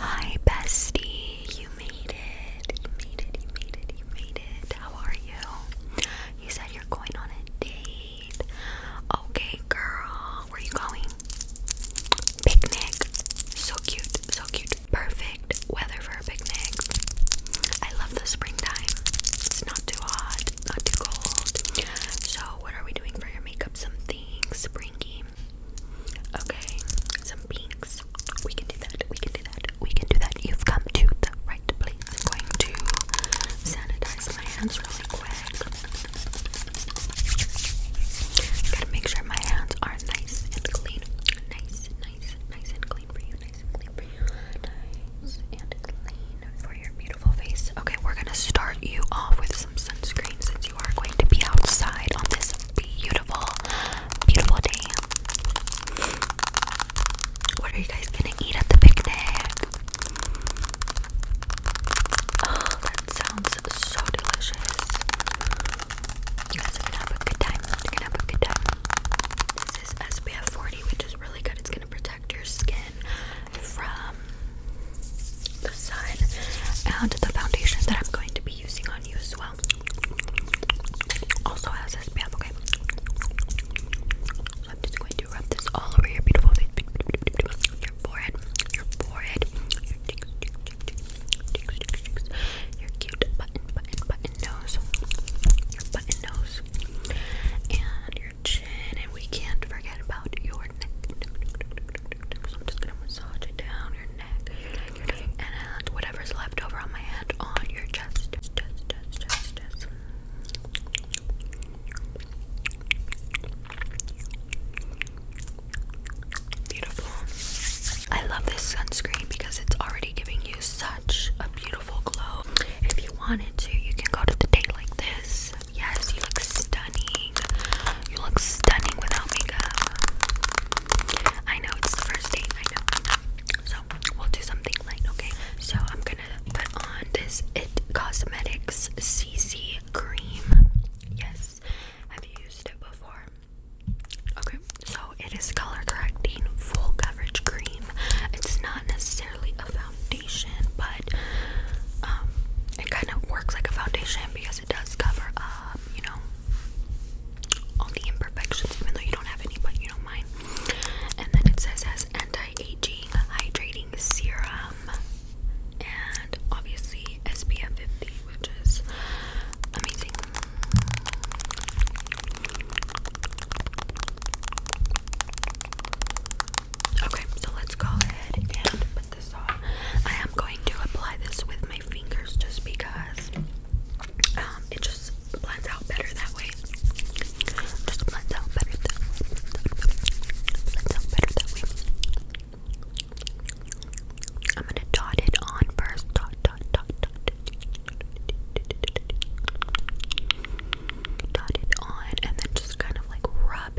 Hi, bestie. You made it. You made it. You made it. You made it. How are you? You said you're going on a date. Okay, girl. Where you going? Picnic. So cute. So cute. Perfect weather for a picnic. I love the springtime. It's not too hot, not too cold. So, what are we doing for your makeup? Something springy. Okay, some pinks. We can do that. We can do that. We can do that. You've come to the right place. I'm going to sanitize my hands really quick. Gotta make sure my hands are nice and clean. Nice, nice, nice and clean for you. Nice and clean for you. Nice and clean for your beautiful face. Okay, we're gonna start you off with sunscreen since you are going to be outside on this beautiful, beautiful day. What are you guys gonna eat at the picnic? Oh, that sounds so delicious. You guys gonna have a good time. gonna have a good time. This is SPF 40, which is really good. It's gonna protect your skin from the sun and the foundation that I'm going to be using on you as well also has SPF, okay? I'm just going to rub this all over your beautiful face, your forehead, your forehead, your cute button, button, button nose, your button nose, and your chin, and we can't forget about your neck, I'm just gonna massage it down your neck, and whatever's left over on my hand on your chest. Beautiful. I love this sunscreen because it's already giving you such a beautiful glow. If you wanted to, you can go to the date like this. Yes, you look stunning stunning. You look stunning without makeup. I know it's the first date, I know. So we'll do something light, okay? So I'm gonna put on this It Cosmetics CC cream. Yes, have you used it before? Okay, so it is color correcting full coverage cream. It's not necessarily a foundation, but um, it kind of works like a foundation because it does cover up you know, all the imperfections, even though you don't have any, but you don't mind. And then it says has anti-aging hydrating serum and obviously SPF 50, which is amazing. Okay, so let's go ahead and I am going to apply this with my fingers just because it just blends out better that way. Just blends out better that blends out better that way. I'm gonna dot it on first. Dot dot dot dot. Dot it on and then just kind of like rub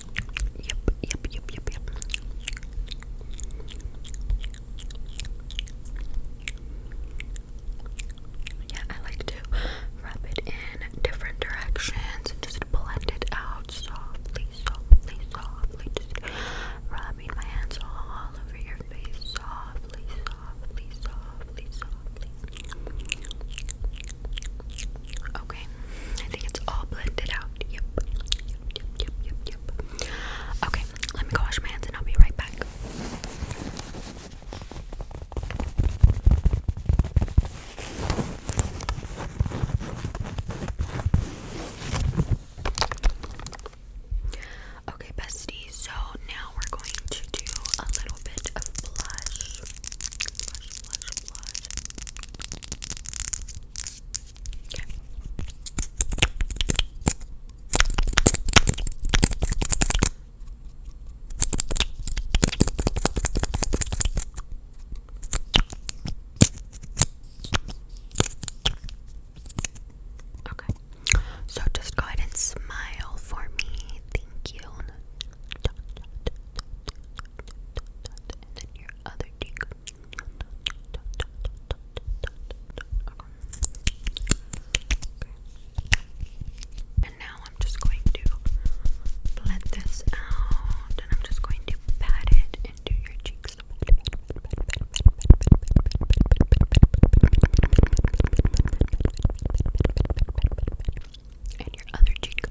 Yep, yep, yep, yep, yep. Yeah, I like to rub it in different directions and just blend it out softly, softly, softly. Just rubbing my hands all over your face softly, softly, softly, softly. Okay, I think it's all blended out out. Yep. Yep, yep, yep, yep. Okay, let me go wash my hands and I'll be right back. Okay, besties, so now we're going to do a little bit of blush. Okay. So just go ahead and smile for me. Thank you. then your other cheek. Okay. And now I'm just going to blend this out and I'm just going to pat it into your cheeks. And your other cheek.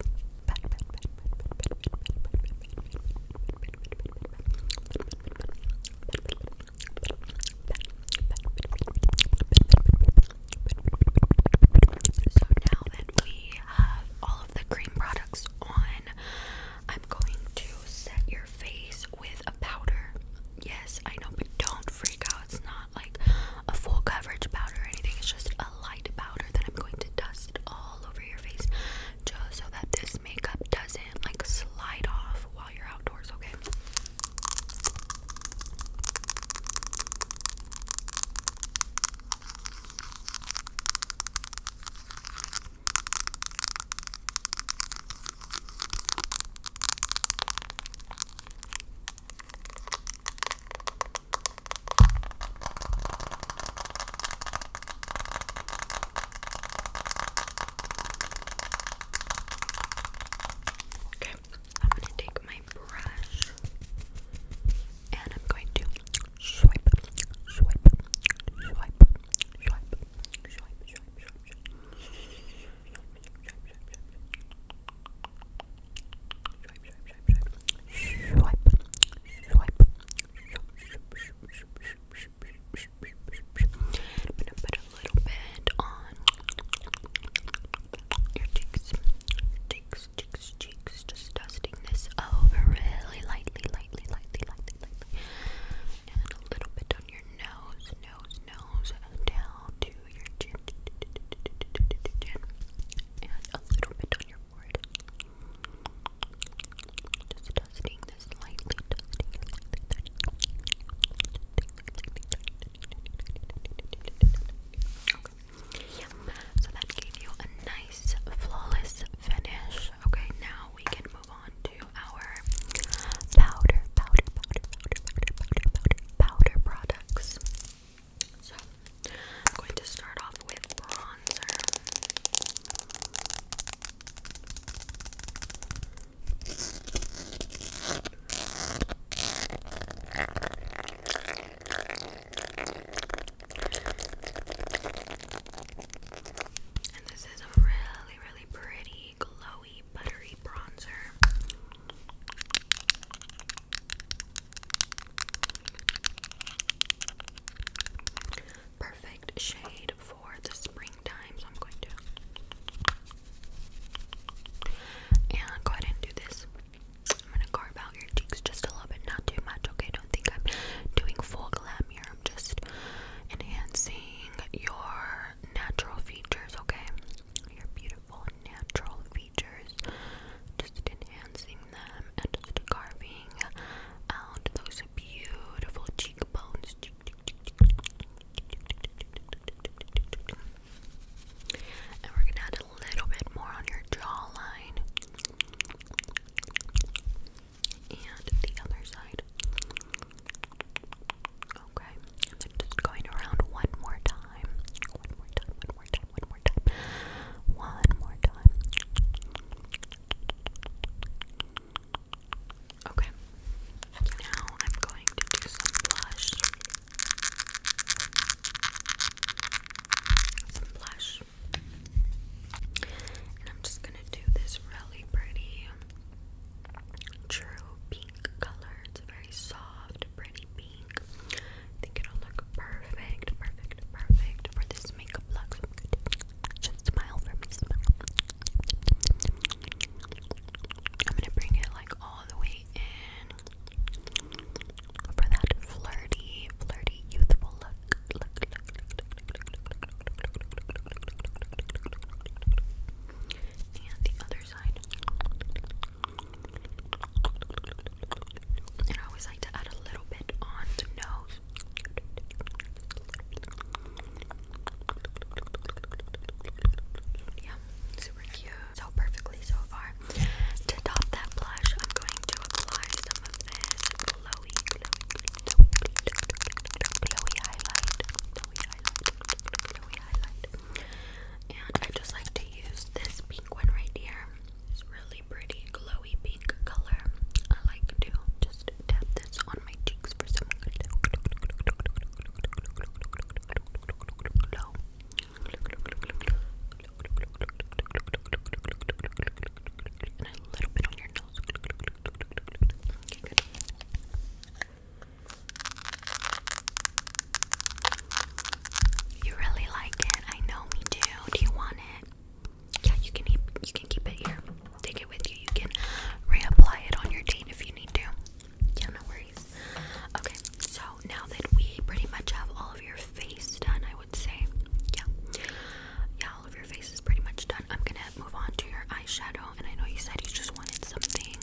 So now that we have all of the cream products on, I'm going to set your face with a powder. Yes, I know, but don't freak out. It's not like a full coverage powder or anything, it's just a light powder that I'm going to dust just all over your face just so that this makeup doesn't like slide off while you're outdoors, okay? Okay, I'm going to take my brush and I'm going to swipe, swipe, swipe, swipe, swipe, swipe, swipe, swipe, swipe, swipe, swipe, swipe, swipe, swipe, I'm gonna put a little bit on your cheeks, cheeks, cheeks, cheeks. Just dusting this over really lightly, lightly, lightly, lightly, lightly, and a little bit on your nose, nose, nose, and down to your chin, and a little bit on your board. Just dusting this lightly, So that gave you a nice, flawless finish. Okay, now we can move on to our powder, powder, powder, powder, powder, powder, powder products. So I'm going to start off with bronzer. And this is a really, really pretty, glowy, buttery bronzer shade for the springtime, so I'm going to and go ahead and do this. I'm gonna carve out your cheeks just a little bit, not too much. Okay, don't think I'm doing full glam here. I'm just enhancing your natural features. Okay, your beautiful natural features. Just enhancing and just carving out those beautiful cheekbones. And we're gonna add a little bit more on your jawline and the other side. Okay, just going around one more time. One more time, one more time, one more time. One more time. Okay, now I'm going to do some blush. Some blush. And I'm just gonna do this really pretty true pink color. It's a very soft, pretty pink. I think it'll look perfect, perfect, perfect for this makeup look. Just smile for me, smile. I'm gonna bring it like all the way in for that flirty, flirty, youthful look, and the other side. And I always like to add a little bit on the nose yeah, super cute. So perfectly so far. To top that blush, I'm going to apply some of this glowy, glowy highlight. Glowy highlight. Glowy highlight. And I just like to use this pink one right here. It's really pretty glowy pink color. I like to just tap this on my cheeks for some glow. glow. And a little bit on your nose. You really like it? I know me too. Do you want it? yeah, you can keep, you can keep it here. Take it with you. You can reapply it on your date if you need to. Yeah, no worries. Okay, so now that we pretty much have all of your face done, I would say, yeah, yeah, all of your face is pretty much done. I'm gonna move on to your eyeshadow, and I know you said you just wanted something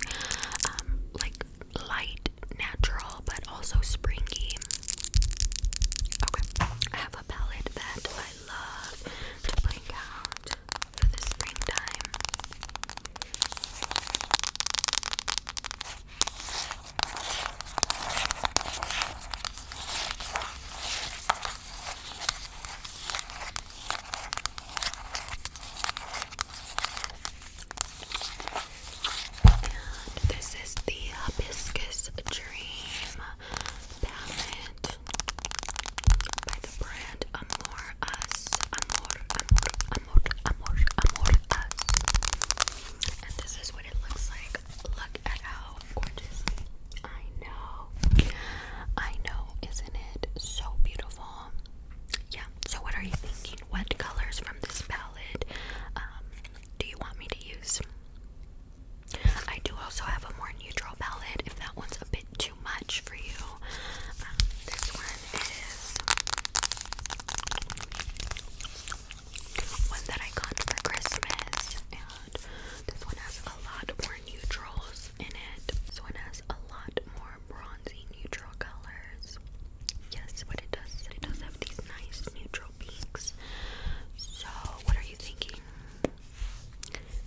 um, like light, natural, but also springy. Okay, I have a palette that love to bring out for the springtime. And this is the hibiscus dream palette by the brand Amor Us. Amor, Amor, Amor, Amor, Amor Us. And this is what it looks like. Look at how gorgeous. I know. I know. Isn't it so beautiful? Yeah. So, what are you thinking? What colors from this palette um, do you want me to use? I do also have a more neutral palette if that one's a bit too much for you. Um, this one is one that I got for Christmas, and this one has a lot more neutrals in it. This one has a lot more bronzy neutral colors. Yes, what it does it does have these nice neutral peaks. So, what are you thinking?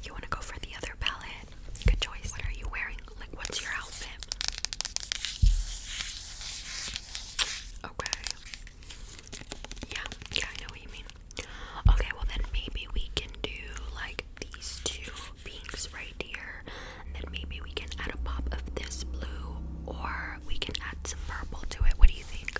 You want to go for the other palette? Good choice. What are you wearing? Like, what's your outfit? Okay. Yeah, yeah, I know what you mean. Okay, well, then maybe we can do like these two pinks right here, then maybe we can add a pop of this blue, or we can add some purple to it. What do you think?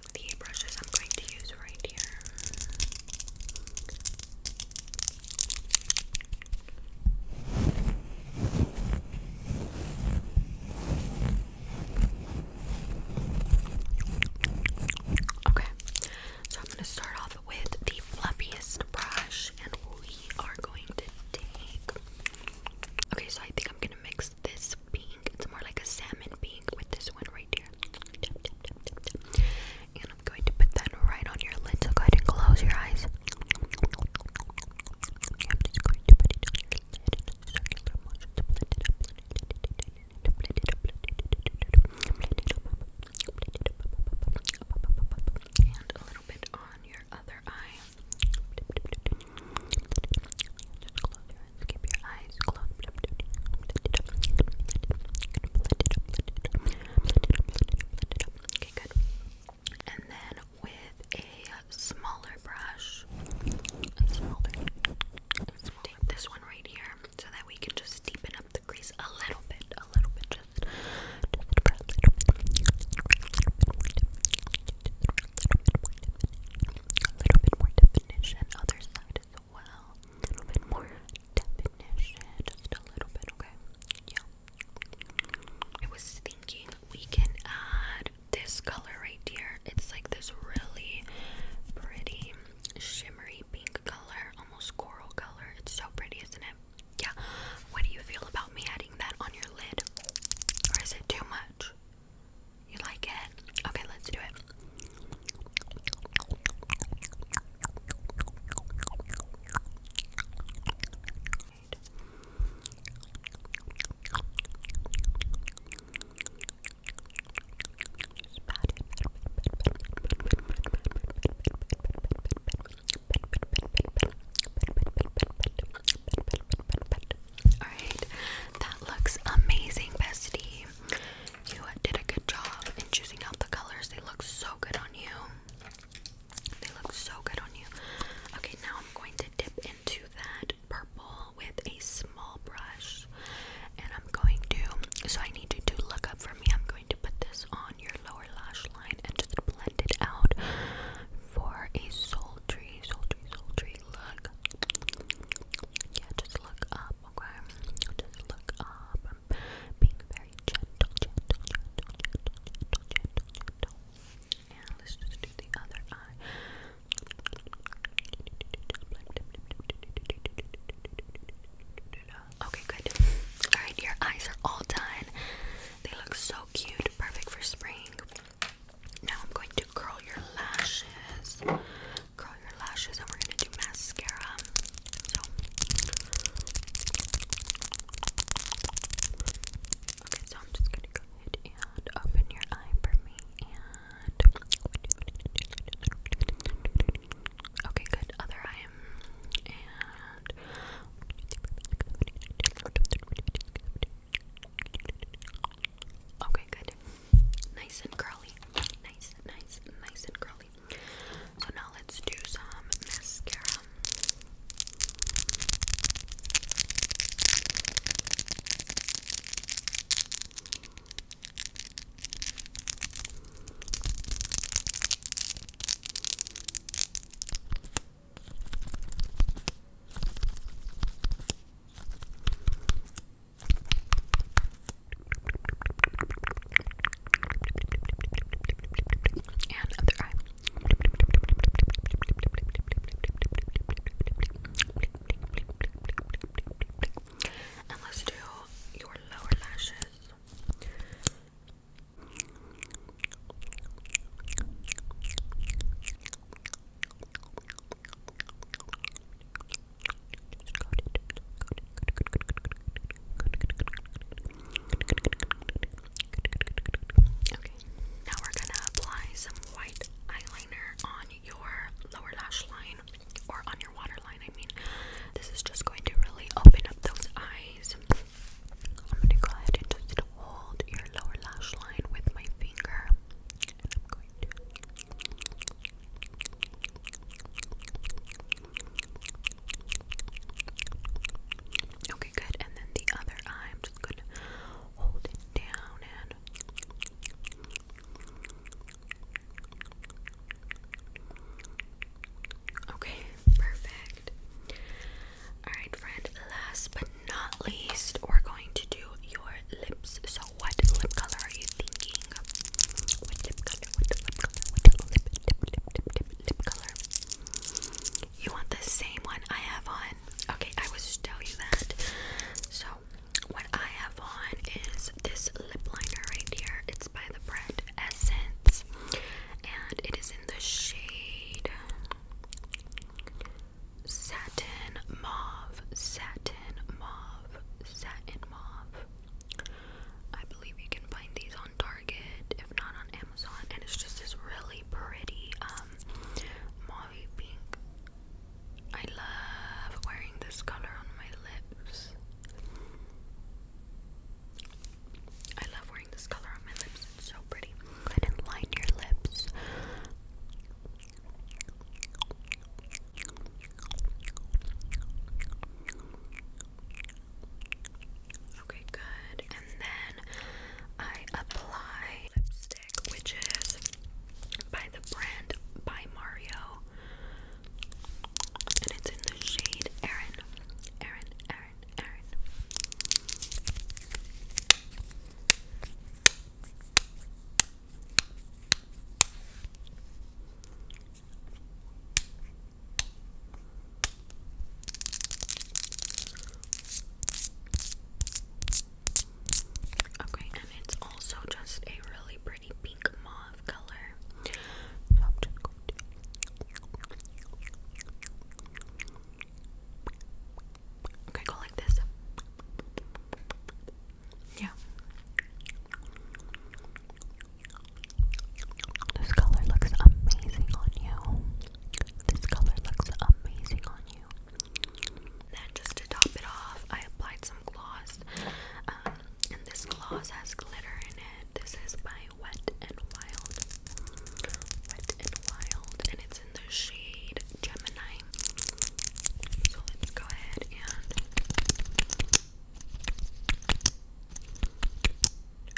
the brushes I'm going to use right here. Okay, so I'm going to start off with the fluffiest brush, and we are going to take. Okay, so I think I'm going to mix this pink. It's more like a salmon pink with this one right here. And I'm going to put that right on your lid. So go ahead and close your eyes. And a little bit on your other eye. Just close your eyes. Keep your eyes closed. Okay, good. And then with a smaller brush, a smaller, take this one right here so that we can just deepen up the crease a little bit, a little bit, just, just for a little bit. A little bit more definition, other side as well. A little bit more, just a little bit, okay? Yeah. I was thinking we can add this color right here. It's like this really pretty shimmery pink color, almost coral color. It's so pretty, isn't it? Yeah. What do you feel about me adding that on your lid? Or is it too much? You like it? Okay, let's do it. Alright, that looks amazing, bestie. You did a good job in choosing out the colors. They look so good on you. They look so good on you. Okay, now I'm going to dip into that purple with a small brush. And I'm going to, so I need you to look up for me. I'm going to put this on your lower lash line and just blend it out for a sultry, sultry, sultry look. Yeah, just look up, okay? Just look up being very gentle, gentle, gentle, gentle, gentle, gentle, gentle. And let's do the other eye. Okay, good. Alright, your eyes are all done. They look so cute, perfect for spring. Now I'm going to curl your lashes curl your lashes and we're gonna do mascara. Okay, so I'm just gonna go ahead and open your eye for me and Okay, good. Other eye and Okay, good. Nice and curly. Nice, nice, nice and curly. So now let's do some mascara. And other eye. And let's do your lower lashes. Okay now we're gonna apply some white eyeliner on your lower lash line or on your waterline. I mean, this is just going to really open up those eyes. I'm gonna go ahead and just hold your lower lash line with my finger, Okay, good. And then the other eye, I'm just gonna hold it down and Okay, perfect. Alright, friend, last but not least, we're going to do your lips. So, what lip color are you thinking? what lip color, what lip color, what lip, color. You want the same one I have on? Okay, I was just tell you that. So what I have on is this lip liner right here. It's by the brand Essence, and it is in the shade satin mauve, satin mauve, satin mauve. I believe you can find these on Target, if not on Amazon, and it's just this really pretty um pink. I love wearing this color on my lips. I love wearing this color on my lips. It's so pretty. Go ahead and line your lips. Okay, good. And then I apply lipstick, which is by the brand By Mario. And it's in the shade Erin. Erin, Erin, Erin. Okay, and it's also just a really pretty pink mauve color. So I'm just going to Okay, go like this. Yeah. This color looks amazing on you. This color looks amazing on you. Then, just to top it off, I applied some gloss. Um, and this gloss has glitter in it. This is by Wet and Wild. Wet and Wild. And it's in the shade Gemini. let's go ahead and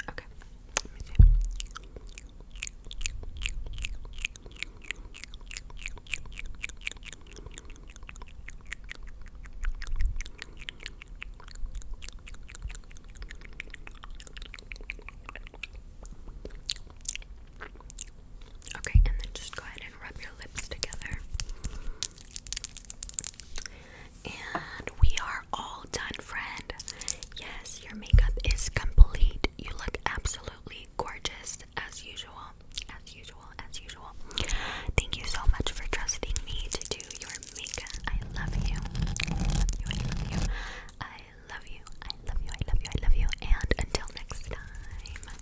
Okay, Okay, and then just go ahead and rub your lips together. And we are all done, friend. Yes, your makeup is complete. You look absolutely gorgeous as usual. As usual, as usual. Thank you so much for trusting me to do your makeup. I love you. I love you. I love you. I love you. I love you. I love you. And until next time.